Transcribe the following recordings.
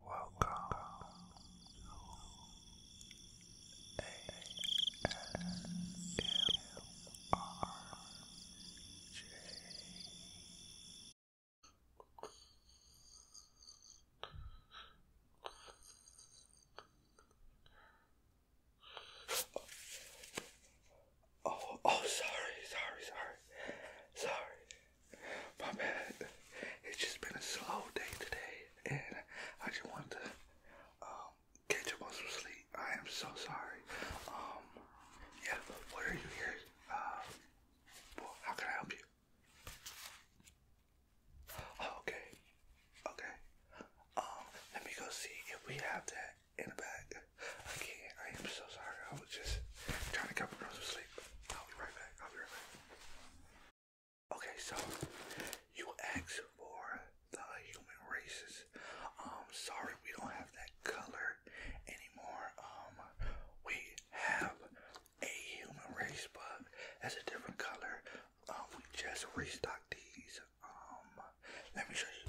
Welcome Oh, oh, sorry, sorry, sorry, sorry. My bad. It's just been a slow day today, and I just wanted to um, catch up some sleep. I am so sorry. Um, yeah, what are you here? Uh, how can I help you? Oh, okay, okay. Um, let me go see if we have that in the bag. Again, I am so sorry. I was just trying to get cover up some sleep. I'll be right back. I'll be right back. Okay, so you asked for the human races. Um, sorry, we don't have that color anymore. Um, we have a human race, but as a different color. Um, we just restocked these. Um, let me show you.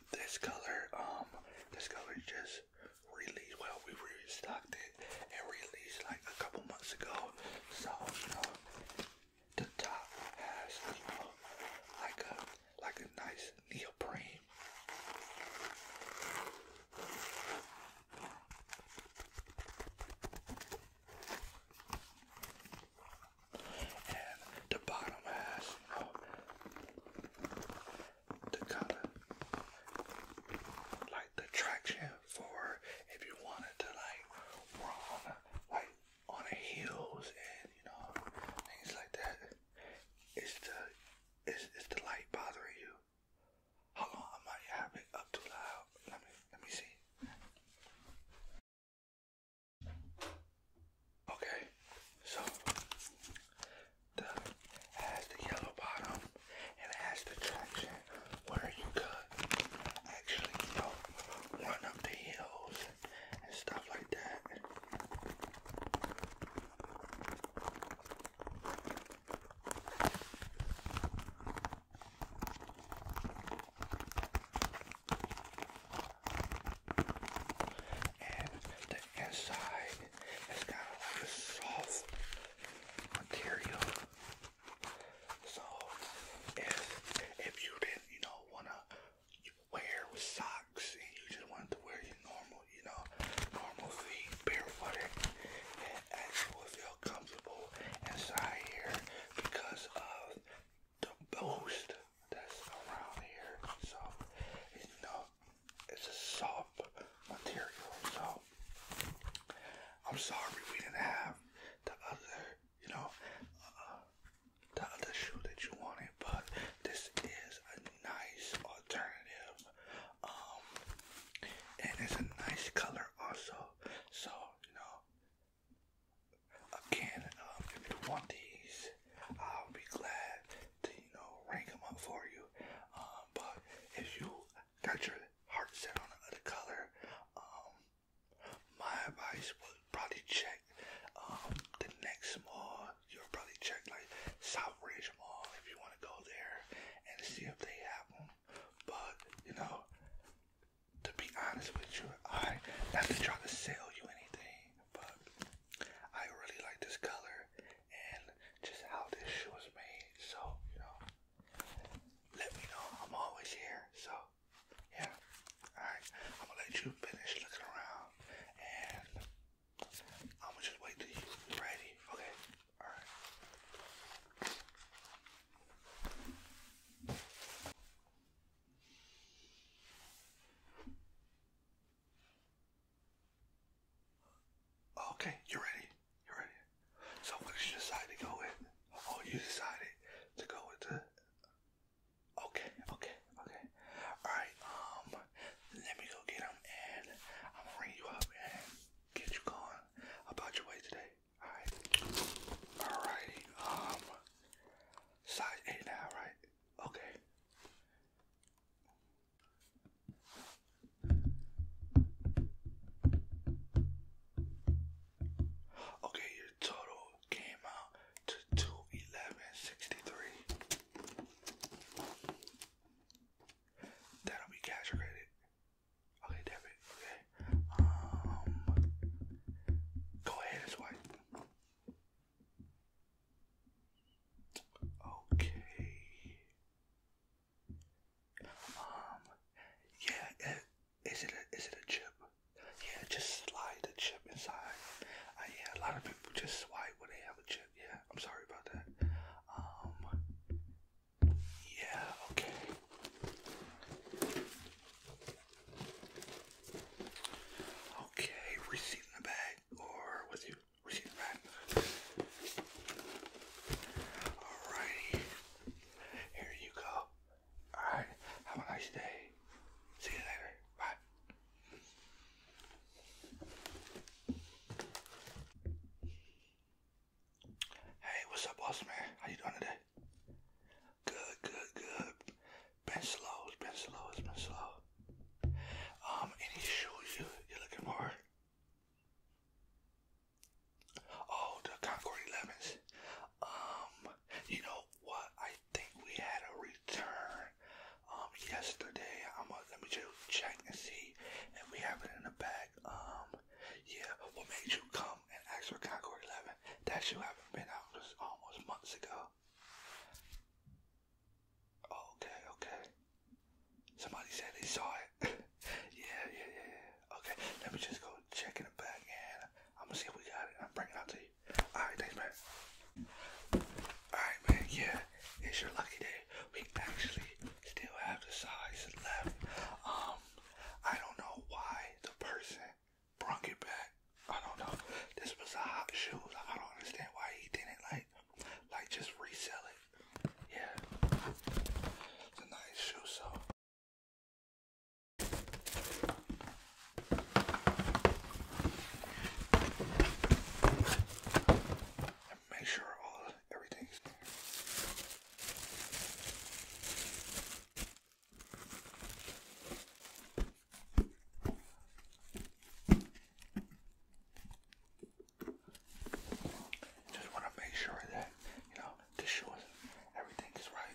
this color, um, this color just released. Well, we restocked it and released like a couple months ago. So you know, the top has you know like a like a nice neoprene. And the bottom has you know, the color, like the traction for if you wanted to like run on a, like on the hills and you know things like that. Is the is it's the light bothering you. Hold on, I might have it up too loud. Let me let me see. Okay, so it has the yellow bottom and it has the traction where you could actually you know, run up the hills and stuff like that and the inside has got like a soft material. So if if you didn't, you know, wanna wear with socks and you just wanted to wear your normal, you know, normal feet barefooted, it actually will feel comfortable inside here because of the boost that's around here. So, you know, it's a soft material. So, I'm sorry we didn't have the other, you know, uh, the other shoe that you wanted, but this is a nice alternative. Um, and it's a nice color also. So, you know, again, um, if you want these, I'll be glad to, you know, rank them up for you. Um, but if you got your heart set on another color, um, my advice would probably check um, the next mall. You'll probably check like Southridge Mall if you want to go there and see if they have them. But you know, to be honest with you, I not try to sell you anything, but I really like this color and just how this shoe was made. So, you know, let me know. I'm always here. So, yeah. Alright, I'm gonna let you finish looking around and I'm gonna just wait till you're ready. Okay? Alright. Okay, you're ready. You're ready. So what did you decide to go with? Oh, you decided to go with the. Okay, okay, okay. All right. Um, let me go get them, and I'm gonna ring you up and get you going about your way today. All right. All right. Um, size eight now, right? Okay. Okay, your total came out to two eleven sixty three. That'll be cash or credit. Okay, debit. Okay. Um, go ahead and swipe. Okay. Um. Yeah. It, eh, is it a is it a chip? Yeah. Just slide the chip inside. Uh, yeah. A lot of people just swipe when they have a chip. Yeah. I'm sorry about that. Um. Yeah. Okay. Okay, receipt in the bag, or with you, receipt in the bag. Alrighty, here you go. Alright, have a nice day. See you later. Bye. Hey, what's up, boss man? How you doing today? Good, good, good been slow, it been slow, it been slow. Um, any shows you, you're looking for? Oh, the Concord 11s. Um, you know what? I think we had a return um yesterday. I'm gonna let me just check and see if we have it in the bag. Um, yeah, what made you come and ask for Concord 11? That shoe have been out almost months ago okay, okay. Somebody said they saw it. yeah, yeah, yeah, Okay, let me just go check in the back and I'm gonna see if we got it. I'm bringing it out to you. Alright, thanks, man. Alright, man, yeah, it's your lucky day. We actually still have the size left. Um, I don't know why the person brung it back. I don't know. This was a hot shoe. I don't understand why he didn't like, like just resell it. Yeah, it's a nice shoe. So. make sure all everything's just want to make sure that, you know, to show us everything is right.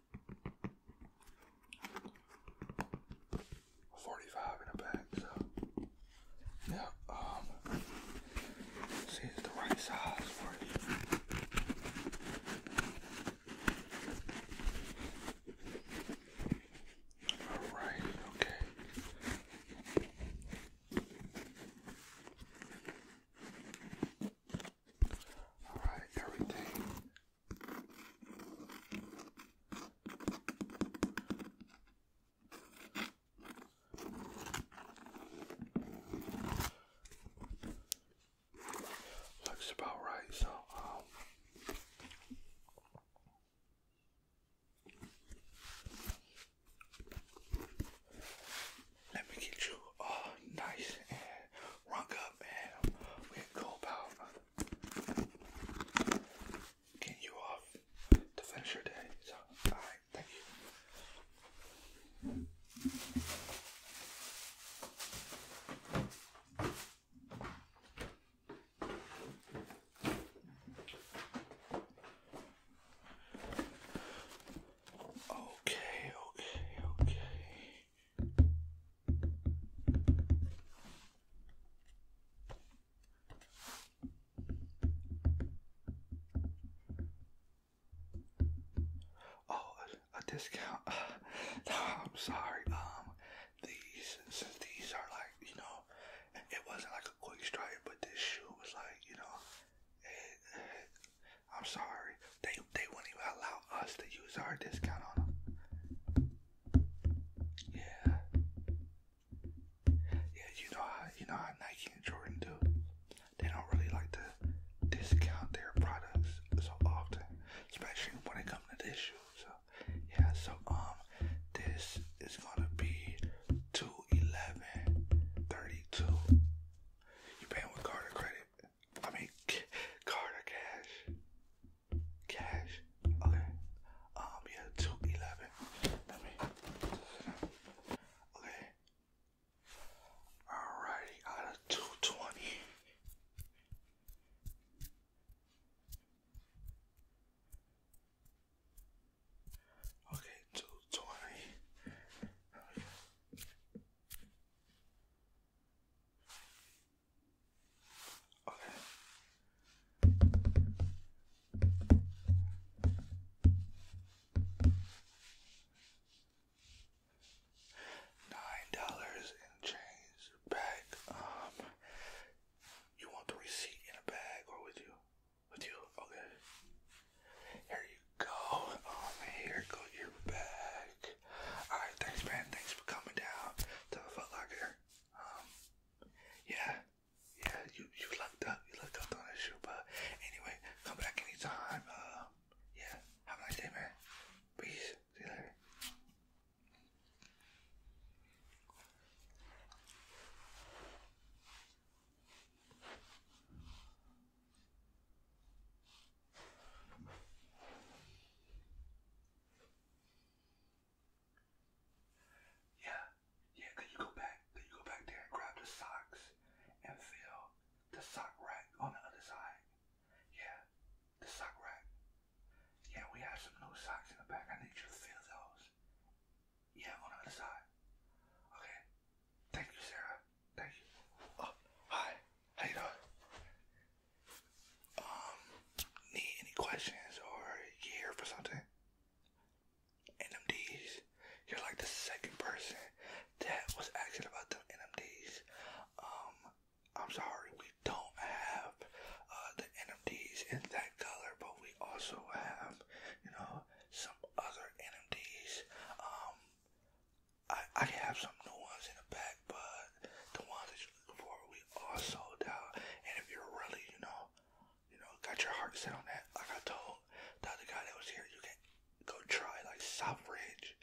45 in a bag, yeah, um, see it's the right size for you. All right, okay. All right, everything looks about right. So, um, let me get you all uh, nice rock up and we can about getting you off to finish your day. So, alright, thank you. Okay, okay, okay. Oh, a, discount. I'm sorry. Um, these these are like you know, it wasn't like a quick strike, but this shoe was like you know, I'm sorry. They they wouldn't even allow us to use our discount on them. Yeah. Yeah, you know how you know how Nike and Jordan do. They don't really like to discount their products so often, especially when it comes to this shoe. So yeah, so um this is gonna be two eleven thirty two. You paying with card or credit? I mean, card or cash? Cash. Okay. Um, yeah, two eleven. Let me. Okay. Alrighty, out of two twenty. Okay, two twenty. Okay. Nine dollars and change back. Um, you want the receipt in a bag or with you? With you? Okay. Here you go. Oh, here go your back. Alright, thanks man, thanks for coming down to the Foot Um yeah, yeah, you you lucked up, you lucked up on that shoe, but anyway, come back anytime. Um, yeah, have a nice day, man. Peace. See you later. Yeah, yeah, could you go back? Could you go back there and grab the socks and fill the sock rack on the other side? Yeah, the sock rack. Yeah, we have some new socks in the back. I need you to fill those. Yeah, on the other side. Okay, Thank you, Sarah. Thank you. Oh, hi. How you doing? Um, need any questions or here for something? NMDs. You're like the second person that was asking about them NMDs. Um, I'm sorry, we don't have uh, the NMDs in that color, but we also have, you know, some other NMDs. Um, I, I can have some new ones in the back, but the ones that you're looking for, we all sold out. And if you're really, you know, you know, got your heart set on that, like I told the other guy that was here, you can go try like Southridge,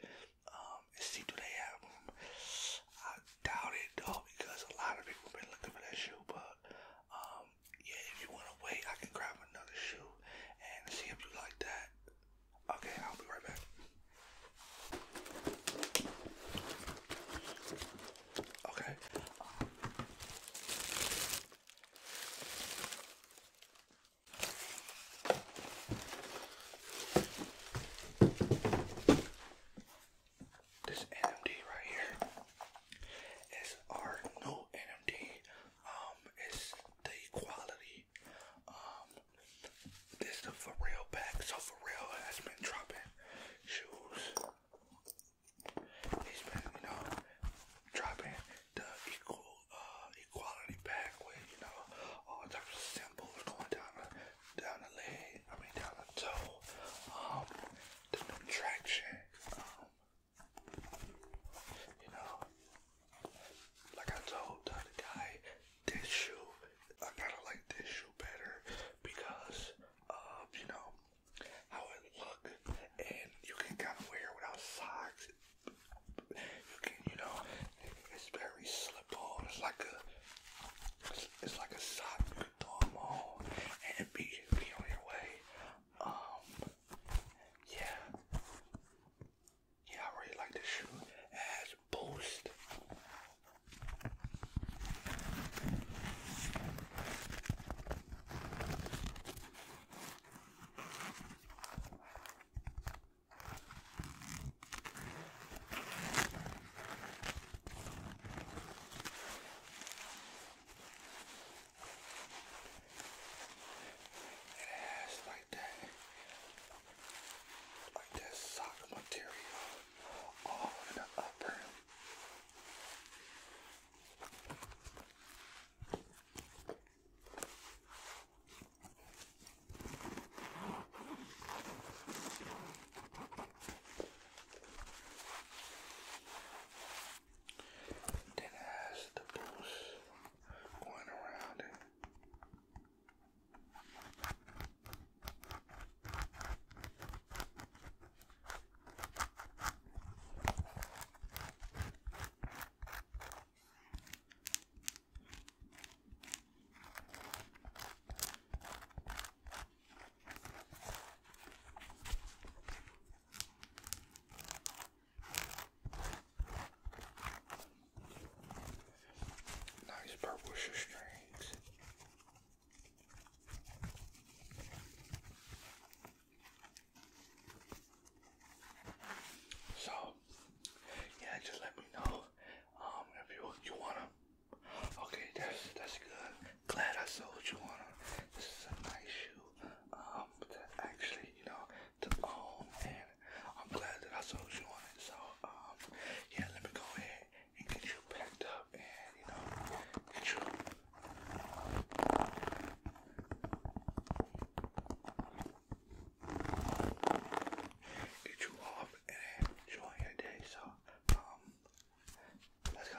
um, and see do they have them. I doubt it though, because a lot of people been looking for that shoe, but um, yeah, if you wanna wait, I can grab another shoe and see if you like that. Okay, I'll be right back. Okay. This NMD right here is our new NMD um, it's the quality. Um, this the for real pack. So for real has been dropping shoes. He's been, you know, dropping the equal uh, equality pack with, you know, all types of symbols going down the down the leg. I mean down the toe. Um, the contraction. Um, you know, like I told the other guy, this shoe, I kind of like this shoe better because of, you know, how it look and you can kind of wear without socks. You can, you know, it's very slip on. It's like a, it's like a sock you can throw them on and be, be on your way. Um, yeah, yeah, I really like this shoe. It has Boost. It has like that, like that sock material all in the upper. Then it has the boost going around Nice purple strings. So, yeah, just let me know um, if you you wanna. Okay, that's that's good. Glad I sold you on. This is a nice shoe. Um, to actually, you know, to own, and I'm glad that I sold you on it. So, um, yeah, let me go ahead and get you packed up and, you know, get you. Get you off and enjoy your day. So, um, let's go.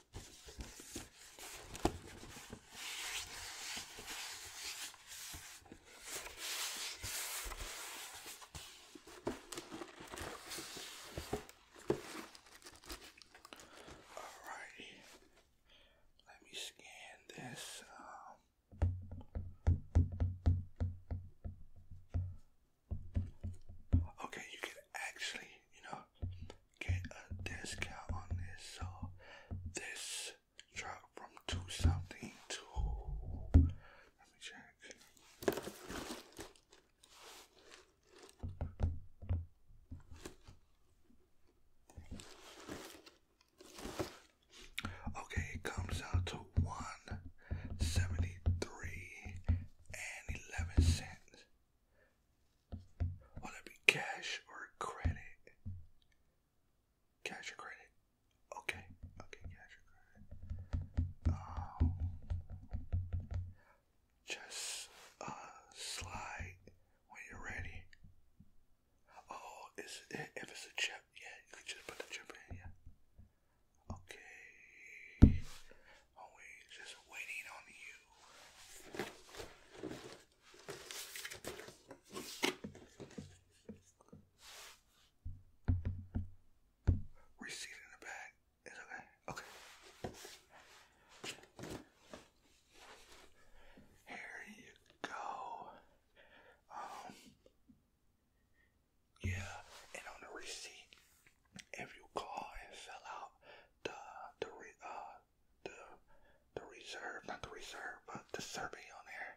Alrighty. Let me scan this. Um, okay, you can actually, you know, get a discount on this. So this dropped from two something to let me check. Okay, it comes out to one seventy three and eleven cents. Will it be cash or credit? Cash or credit? Okay, okay, cash or credit. Um, just uh, slide when you're ready. Oh, is if it's a chip, yeah, you can just put the chip in, yeah. Okay always just waiting on you. Receipt in the bag. It's okay. Okay. Here you go. Um yeah, and on the receipt, if you call and fill out the the re, uh, the the reserve, not the reserve, but the survey on there,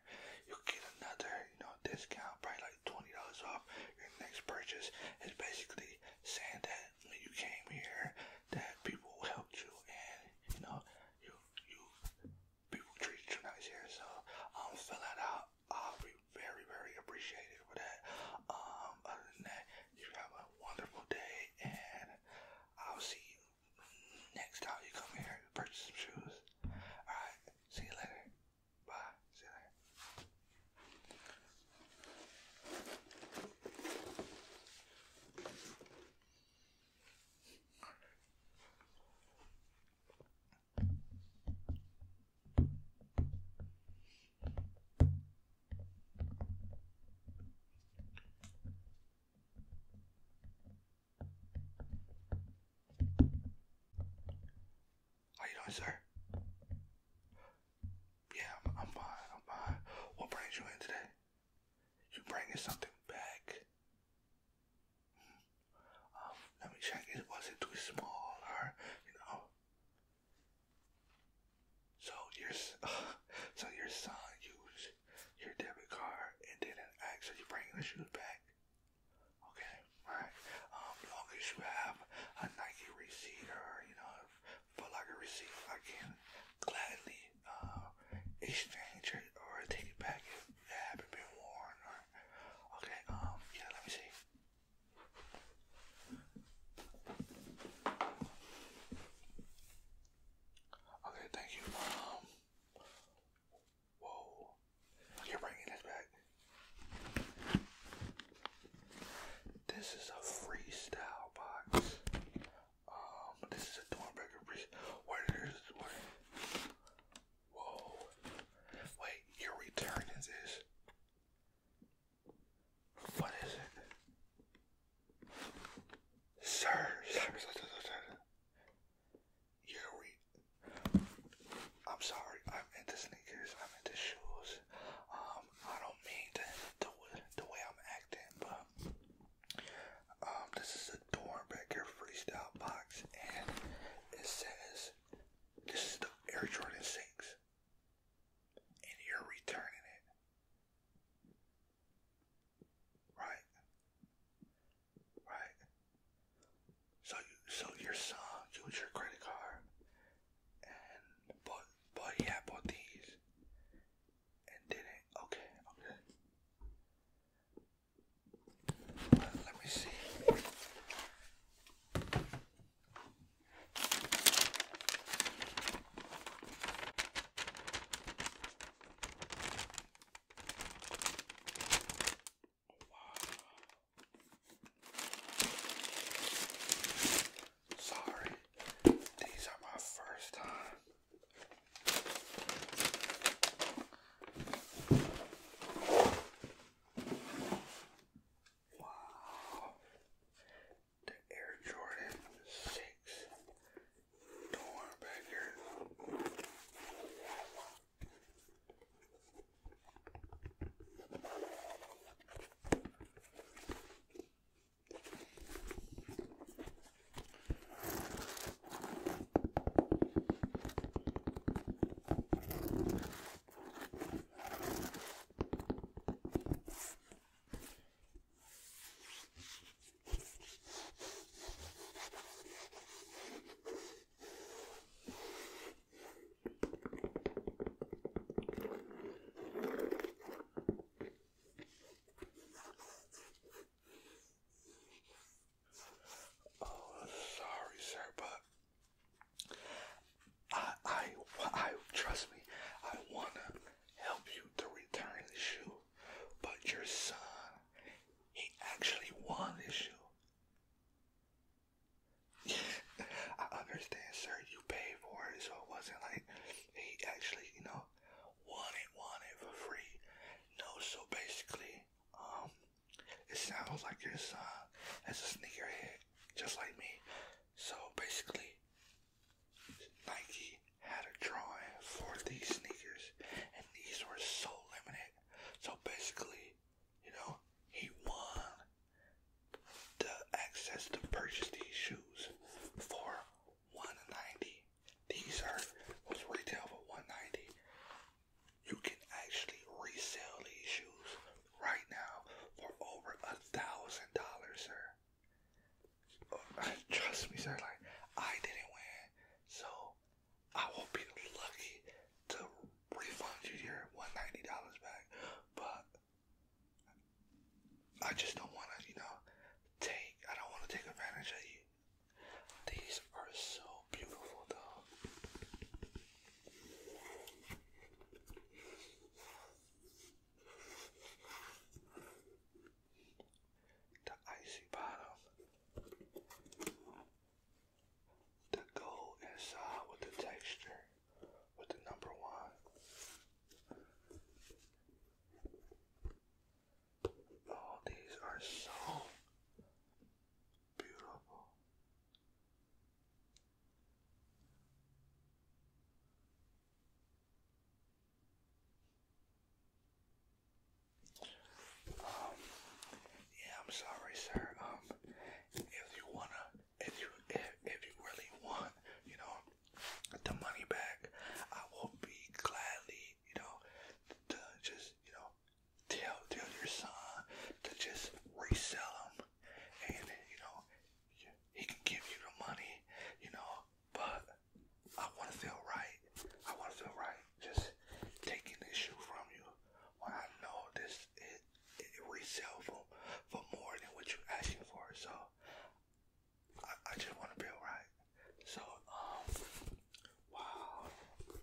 you'll get another you know discount, probably like twenty dollars off your next purchase. It's basically saying that when you came here, that people helped you and you know you you people treated you nice here. So i um, fill that out. I'll very, very appreciated for that. Um, other than that, you have a wonderful day, and I'll see you next time you come here and purchase some shoes. Alright, see you later. Bye. See you later. How you doing, sir? Yeah, I'm, fine. I'm fine. What brings you in today? You bringing something back? Hmm. Um, let me check. It was it too small, or you know? So your so your son used your debit card and didn't ask you bringing the shoes back. Okay, all right. Um, long as you have a Nike receipt or you know, Foot Locker receipt, I can gladly uh, exchange it or take it back if it haven't been worn. Or okay, um, yeah. Let me see. Okay, thank you. whoa, you're bringing this back. This is a freestyle box. Um, this is a Dornbecker freestyle. where? Whoa, wait, you're returning this? What is it? Sir, sir, sir, sir, sir. I'm sorry, I'm into sneakers, I'm into shoes. Um, I don't mean to, the, the way I'm acting, but um, this is a Dornbecker freestyle box, and it says this is the Air Jordan 6 and you're returning it. Right? Right. So you, so your son used your credit card and but but he bought these and didn't okay, okay. Let me see wow. Sorry, these are my first time. Wow. The Air Jordan 6 Dorn back here. Oh, sorry, sir, but I, I, I trust me. I wanna help you to return the shoe, but your son, he actually won this shoe. I understand, sir. You paid for it, so it wasn't like he actually, you know, won it, won it for free. No, so basically, um, it sounds like your son it's a sneakerhead, just like me. So basically, Nike had a drawing for these sneakers, and these were so limited. So basically, you know, he won the access to purchase these shoes for 190. These are was retail for 190. You can actually resell these shoes right now for over a thousand dollars, sir. Uh, trust me, sir. Like I didn't win, so I will be lucky to refund you your one ninety dollars back. But I just don't want to, you know, take. I don't want to take advantage of you. These are so beautiful, though. The icy bottom. The gold inside with the texture with the number one. Oh, these are so beautiful yeah, I'm sorry, sir. Um, if you wanna, if you, if, if you really want, you know, the money back, I will be gladly, you know, to just, you know, tell tell your son to just resell them, and you know he can give you the money, you know. But I want to feel right. I want to feel right. Just taking this shoe from you when I know this it it resell for for more than what you're asking for. So I, I just want to feel right. So um wow.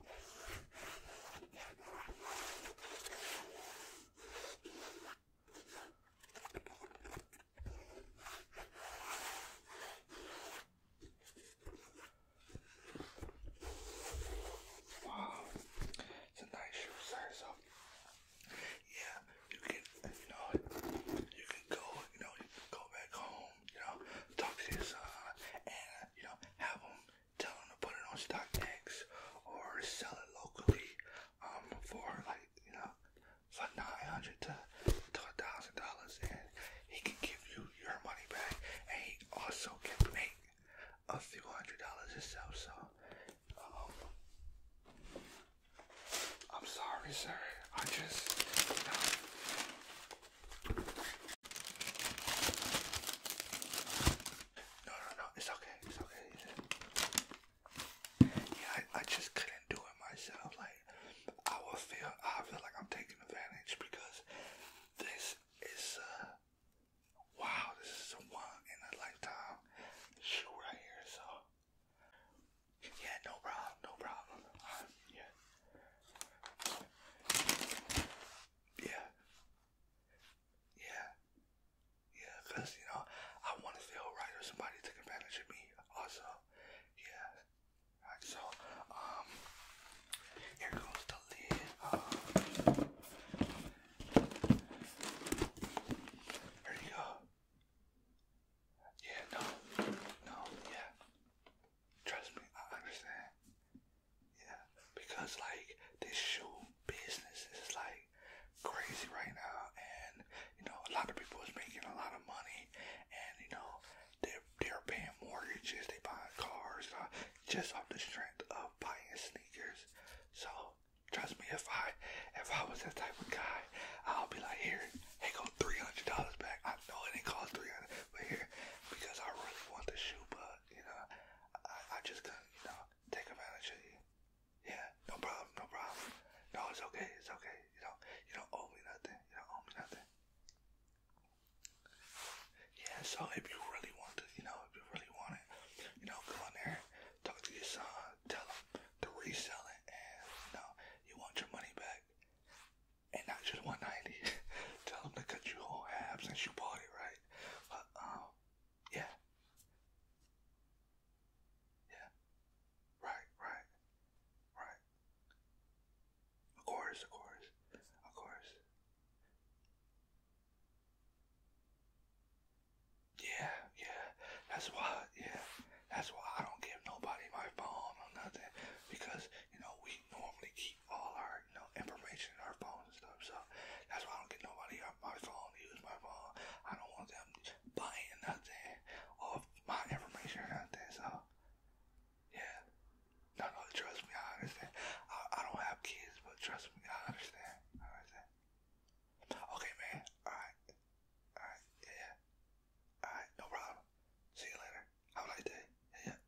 Wow, it's a nice shoe So, yeah, you can, you know, you can go, you know, you can go back home, you know, talk to your son, you know, have him, tell them to put it on stock StockX or sell it locally um, for like, you know, for 900 to to a thousand dollars and he can give you your money back and he also can make a few hundred dollars himself so um I'm sorry sir I just no, no, no. It's okay. It's okay. Yeah, I, I just couldn't do it myself. Like, I will feel, I feel like I'm taking advantage because this is, uh, wow, this is a one in a lifetime shoe right here. So, yeah, no problem, no problem. Um, yeah, yeah. Yeah. Yeah, because, you know, I want to feel right or somebody took advantage of me also. Yeah. so, um, here goes the lid. Um, you go. Yeah, no, no, yeah. Trust me, I understand. Yeah, because like this shoe business is like crazy right now, and you know a lot of people is making a lot of money, and you know they're they're paying mortgages, they buying cars, you uh, know, just off the strength of buying sneakers. So trust me, if I if I was that type of guy, I'll be like, here, hey, go three hundred dollars back. I know it ain't cost three hundred, but here because I really want the shoe, but you know, I, I just couldn't, you know, take advantage of you. Yeah, no problem, no problem. No, it's okay, it's okay. You do you don't owe me nothing. You don't owe me nothing. Yeah, so if you really want to, you know, if you really want it, you know, go on there, talk to your son, tell him to resell it, and you know, you want your money back, and not just 190. tell him to cut you whole halves since you bought it, right? But um, uh, yeah, yeah, right, right, right. Of course, of course, of course. Yeah, yeah. That's why, yeah. That's why I don't give nobody my phone or nothing because you know we normally keep all our our you know our phone and stuff. So that's why I don't get nobody on my phone, use my phone. I don't want them buying nothing off my information or nothing. So yeah, no, no, trust me, I understand. I don't have kids, but trust me, I understand. I understand. Okay, man. All right, all right, yeah. All right, no problem. See you later. Have a nice day. Yeah.